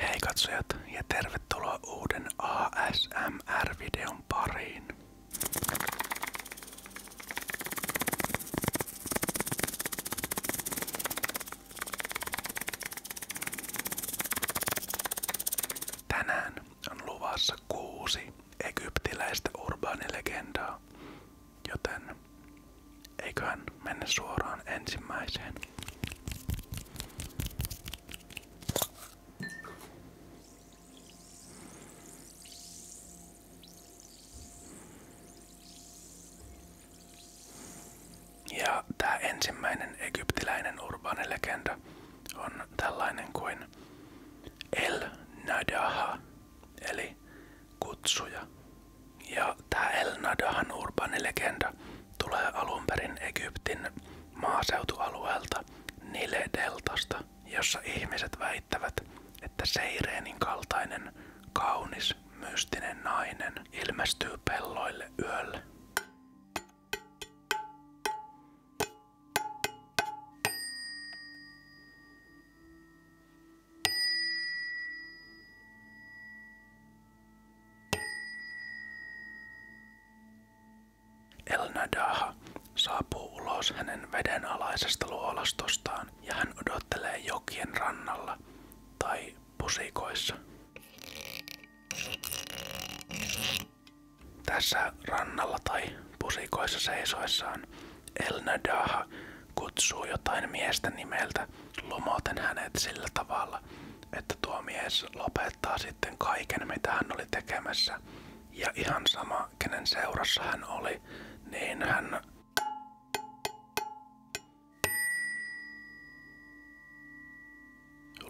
Hei katsojat ja tervetuloa uuden ASMR-videon pariin. Tänään on luvassa kuusi egyptiläistä urbaanilegendaa, joten eiköhän mennä suoraan ensimmäiseen. Ja tämä ensimmäinen egyptiläinen urbaanilegenda on tällainen kuin El Nadaha, eli kutsuja. Ja tämä El Nadahan urbaanilegenda tulee alun perin Egyptin maaseutualueelta Nile-deltasta, jossa ihmiset väittävät, että seireenin kaltainen kaunis mystinen nainen ilmestyy pelloille yöllä. Elnadaha saapuu ulos hänen vedenalaisesta luolastostaan uudestaan ja hän odottelee jokien rannalla tai pusikoissa. Tässä rannalla tai pusikoissa seisoissaan El Nadaha kutsuu jotain miestä nimeltä lumoten hänet sillä tavalla, että tuo mies lopettaa sitten kaiken mitä hän oli tekemässä. Ja ihan sama, kenen seurassa hän oli, niin hän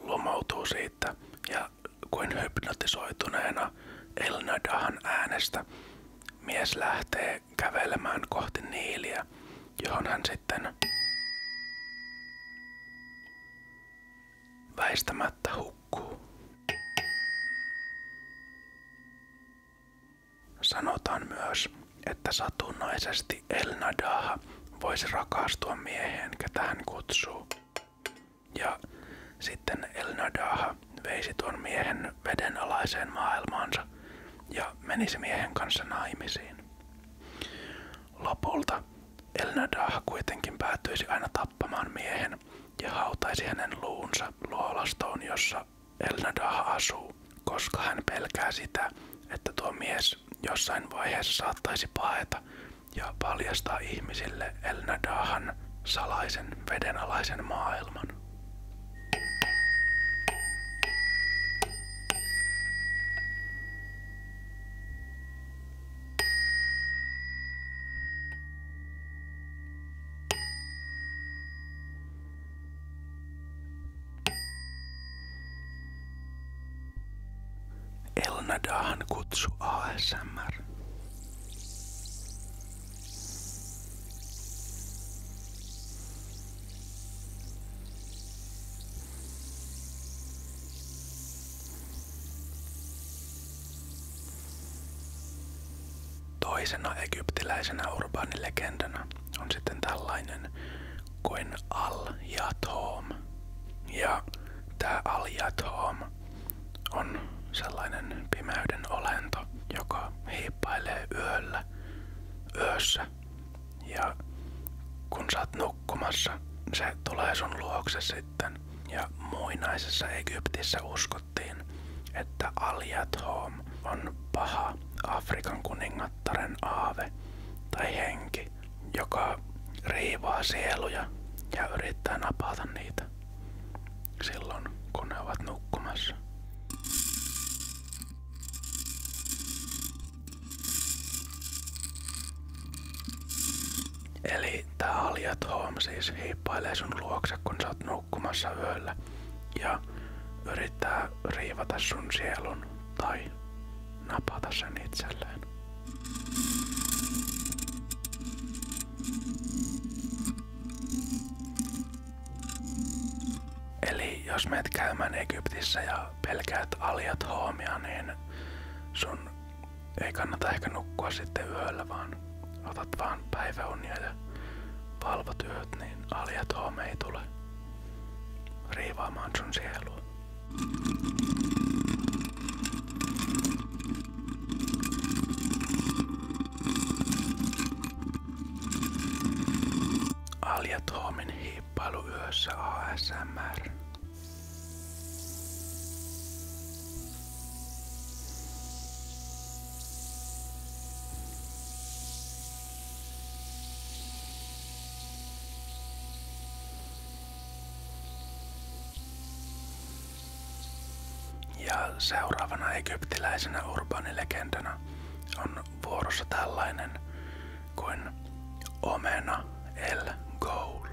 Lomautuu siitä ja kuin hypnotisoituneena Elnadahan äänestä mies lähtee kävelemään kohti niiliä, johon hän sitten väistämättä hukkuu. Sanotaan myös, että satunnaisesti Elnadaha voisi rakastua mieheen, ketä hän kutsuu. Ja sitten Elnadaha veisi tuon miehen vedenalaiseen maailmaansa ja menisi miehen kanssa naimisiin. Lopulta Elnadah kuitenkin päätyisi aina tappamaan miehen ja hautaisi hänen luunsa luolastoon, jossa jossa asuu, koska hän pelkää sitä, että tuo mies jossain vaiheessa saattaisi paeta ja paljastaa ihmisille Elnadahan salaisen vedenalaisen maailman. Elnadahan kutsu ASMR. Toisena egyptiläisenä urbaanilegendana on sitten tällainen kuin Al-Jathom. Ja tämä Al-Jathom on sellainen pimeyden olento, joka hiippailee yöllä, yössä. Ja kun sä oot nukkumassa, se tulee sun luokse sitten. Ja muinaisessa Egyptissä uskottiin uskottiin, että Aliathom on paha Afrikan kuningattaren aave tai henki, joka riivaa sieluja ja yrittää napata niitä silloin, kun ne ovat nukkumassa. Eli tää Aliathom siis hiippailee sun luokse, kun sä oot nukkumassa nukkumassa yöllä ja yrittää riivata sun sielun tai napata sen itselleen. Eli jos menet käymään Egyptissä ja pelkäät aljat hoomia, niin sun ei kannata ehkä nukkua sitten yöllä, vaan otat vaan päiväunia ja valvotyöt, niin aljat home ei tule riivaamaan sun sielua. Aljat homin hiippailu yössä ASMR. Ja seuraavana egyptiläisenä urbaanilegendana on vuorossa tällainen kuin Omena El Goul.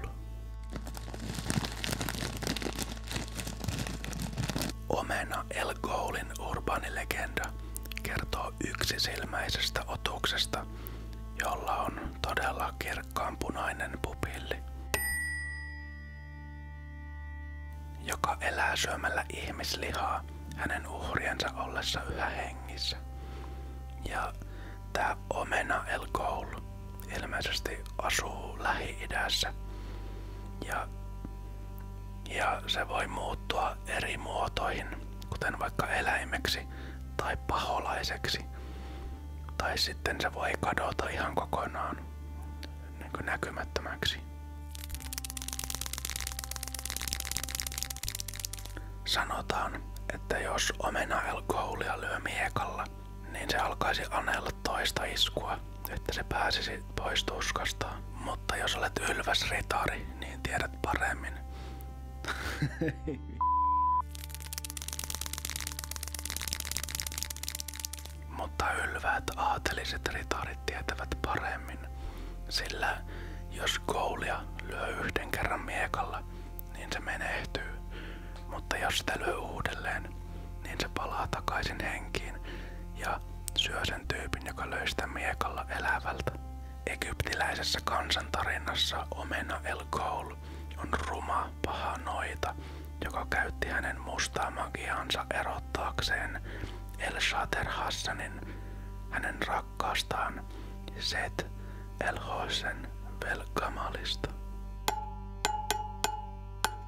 Omena El Goulin urbaanilegenda kertoo yksisilmäisestä otuksesta, jolla on todella kirkkaanpunainen pupilli, joka elää syömällä ihmislihaa hänen uhriensa ollessa yhä hengissä. Ja tämä Omena El Goul ilmeisesti asuu Lähi-idässä ja, ja se voi muuttua eri muotoihin, kuten vaikka eläimeksi tai paholaiseksi. Tai sitten se voi kadota ihan kokonaan niin kuin näkymättömäksi. Sanotaan, että jos omena alkoholia lyö miekalla, niin se alkaisi anella toista iskua, että se pääsisi pois tuskastaan. Mutta jos olet ylväs ritari, niin tiedät paremmin. Mutta ylväät aateliset ritarit tietävät paremmin, sillä jos koulia lyö yhden kerran miekalla, niin se menehtyy. Mutta jos sitä lyö uudelleen, niin se palaa takaisin henkiin ja syö sen tyypin, joka löystää miekalla elävältä. Egyptiläisessä kansantarinassa omena El Ghoul on ruma paha noita, joka käytti hänen mustaa magiaansa erottaakseen El Shater Hassanin, hänen rakkaastaan Set El Hosen Velkamalista.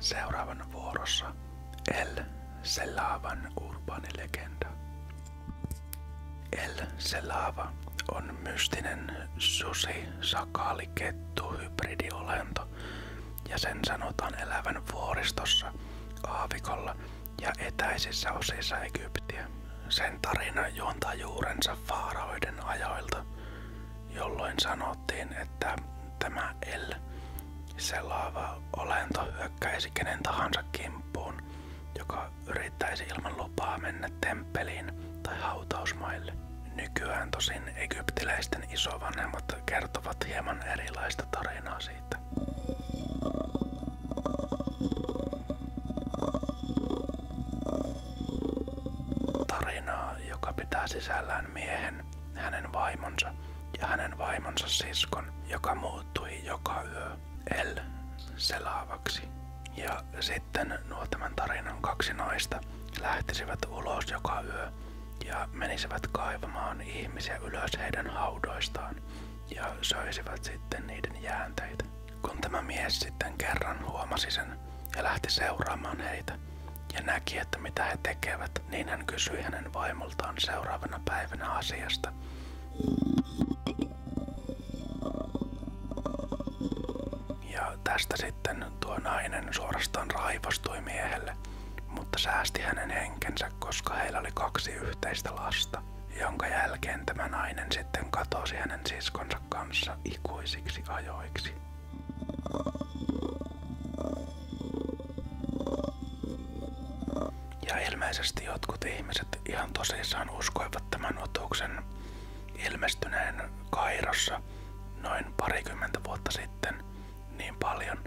Seuraavan vuorossa El Selavan urbaanilegenda. El Selava on mystinen susi sakaali kettu hybridiolento ja sen sanotaan elävän vuoristossa, aavikolla ja etäisissä osissa Egyptiä. Sen tarina juontaa juurensa faaroiden ajoilta, jolloin sanoo sanottiin, että tämä El, se laava olento, hyökkäisi kenen tahansa kimppuun, joka yrittäisi ilman lupaa mennä temppeliin tai hautausmaille. Nykyään tosin egyptiläisten isovanhemmat kertovat hieman erilaista tarinaa siitä. Tarinaa, joka pitää sisällään miehen, hänen vaimonsa ja hänen vaimonsa siskon, joka muuttui joka yö El selaavaksi. Ja sitten nuo tämän tarinan kaksi naista lähtisivät ulos joka yö ja menisivät kaivamaan ihmisiä ylös heidän haudoistaan ja söisivät sitten niiden jäänteitä. Kun tämä mies sitten kerran huomasi sen ja lähti seuraamaan heitä ja näki, että mitä he tekevät, olivat, niin hän kysyi hänen vaimoltaan seuraavana päivänä asiasta. Ja tästä sitten tuo nainen suorastaan raivostui miehelle, mutta säästi hänen henkensä, koska heillä oli kaksi yhteistä lasta, jonka jälkeen tämä nainen sitten katosi hänen siskonsa kanssa ikuisiksi ajoiksi. Ja ilmeisesti jotkut ihmiset ihan tosissaan uskoivat tämän otuksen ilmestyneen Kairossa noin parikymmentä vuotta sitten niin paljon,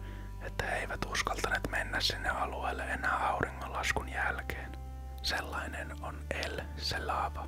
että he eivät uskaltaneet mennä sinne alueelle enää auringonlaskun jälkeen. Sellainen on El Selava.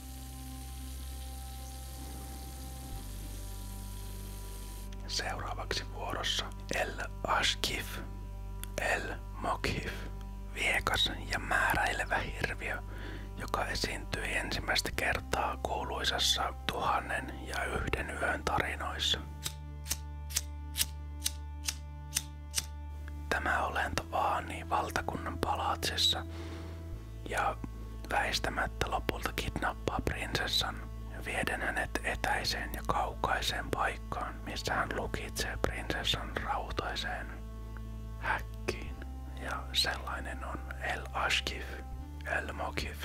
Seuraavaksi vuorossa El Ashkif, El Mokhif, viekas ja määräilevä hirviö, joka esiintyi ensimmäistä kertaa kuuluisassa tuhannen ja yhden yön tarinoissa. Tämä olento vaanii valtakunnan palatsissa, ja väistämättä lopulta kidnappaa prinsessan vieden hänet etäiseen ja kaukaiseen paikkaan, missä hän lukitsee prinsessan rautaiseen häkkiin. Ja sellainen on El Ashkif, El Mokif.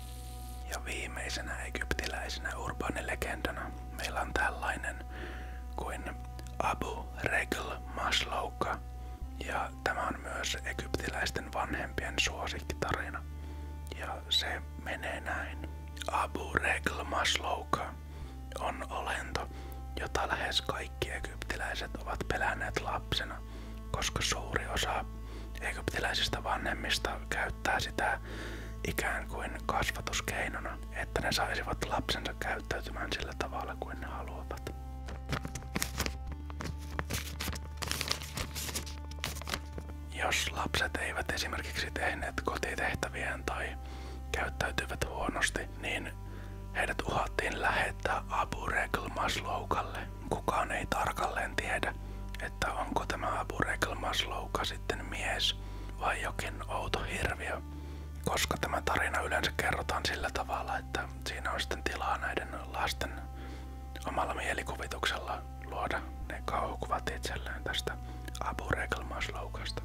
Ja viimeisenä egyptiläisenä urbaanilegendana meillä on tällainen kuin Abu Regl Maslouka. Ja tämä on myös egyptiläisten vanhempien suosikkitarina. Ja se menee näin. Abu Regl Maslouka on olento, jota lähes kaikki egyptiläiset ovat pelänneet lapsena, koska suuri osa egyptiläisistä vanhemmista käy käyttää sitä ikään kuin kasvatuskeinona, että ne saisivat lapsensa käyttäytymään sillä tavalla kuin ne haluavat. Jos lapset eivät esimerkiksi tehneet kotitehtäviään tai käyttäytyivät huonosti, niin heidät uhattiin lähettää Abu Rekl Masloukalle. Kukaan ei tarkalleen tiedä, että onko tämä Abu Rekel Maslouka sitten mies vai jokin outo hirviö, koska tämä tarina yleensä kerrotaan sillä tavalla, että siinä on sitten tilaa näiden lasten omalla mielikuvituksella luoda ne kauhukuvat itselleen tästä Abu Rekel Masloukasta.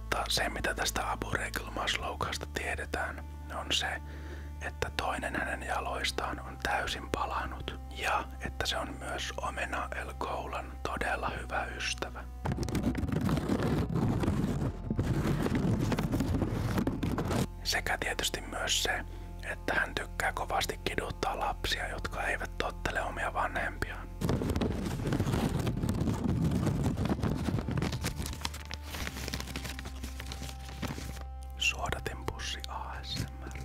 Mutta se mitä tästä Abu Regl tiedetään on se, että toinen hänen jaloistaan on täysin palannut ja että se on myös Omena El Koulan todella hyvä ystävä. Sekä tietysti myös se, että hän tykkää kovasti kiduttaa lapsia, jotka eivät tottele omia vanhempia mitään. Suodatin pussi ASMR.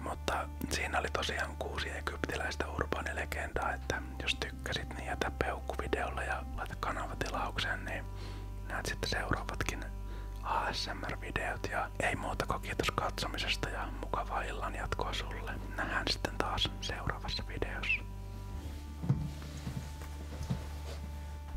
Mutta siinä oli tosiaan kuusi egyptiläistä urbaanilegendaa, että jos tykkäsit, niin jätä peukku videolle ja laita kanava tilaukseen, niin näet sitten seuraavatkin ASMR-videot ja ei muuta kuin kiitos katsomisesta ja mukavaa illan jatkoa sulle. Nähdään sitten taas seuraavassa videossa.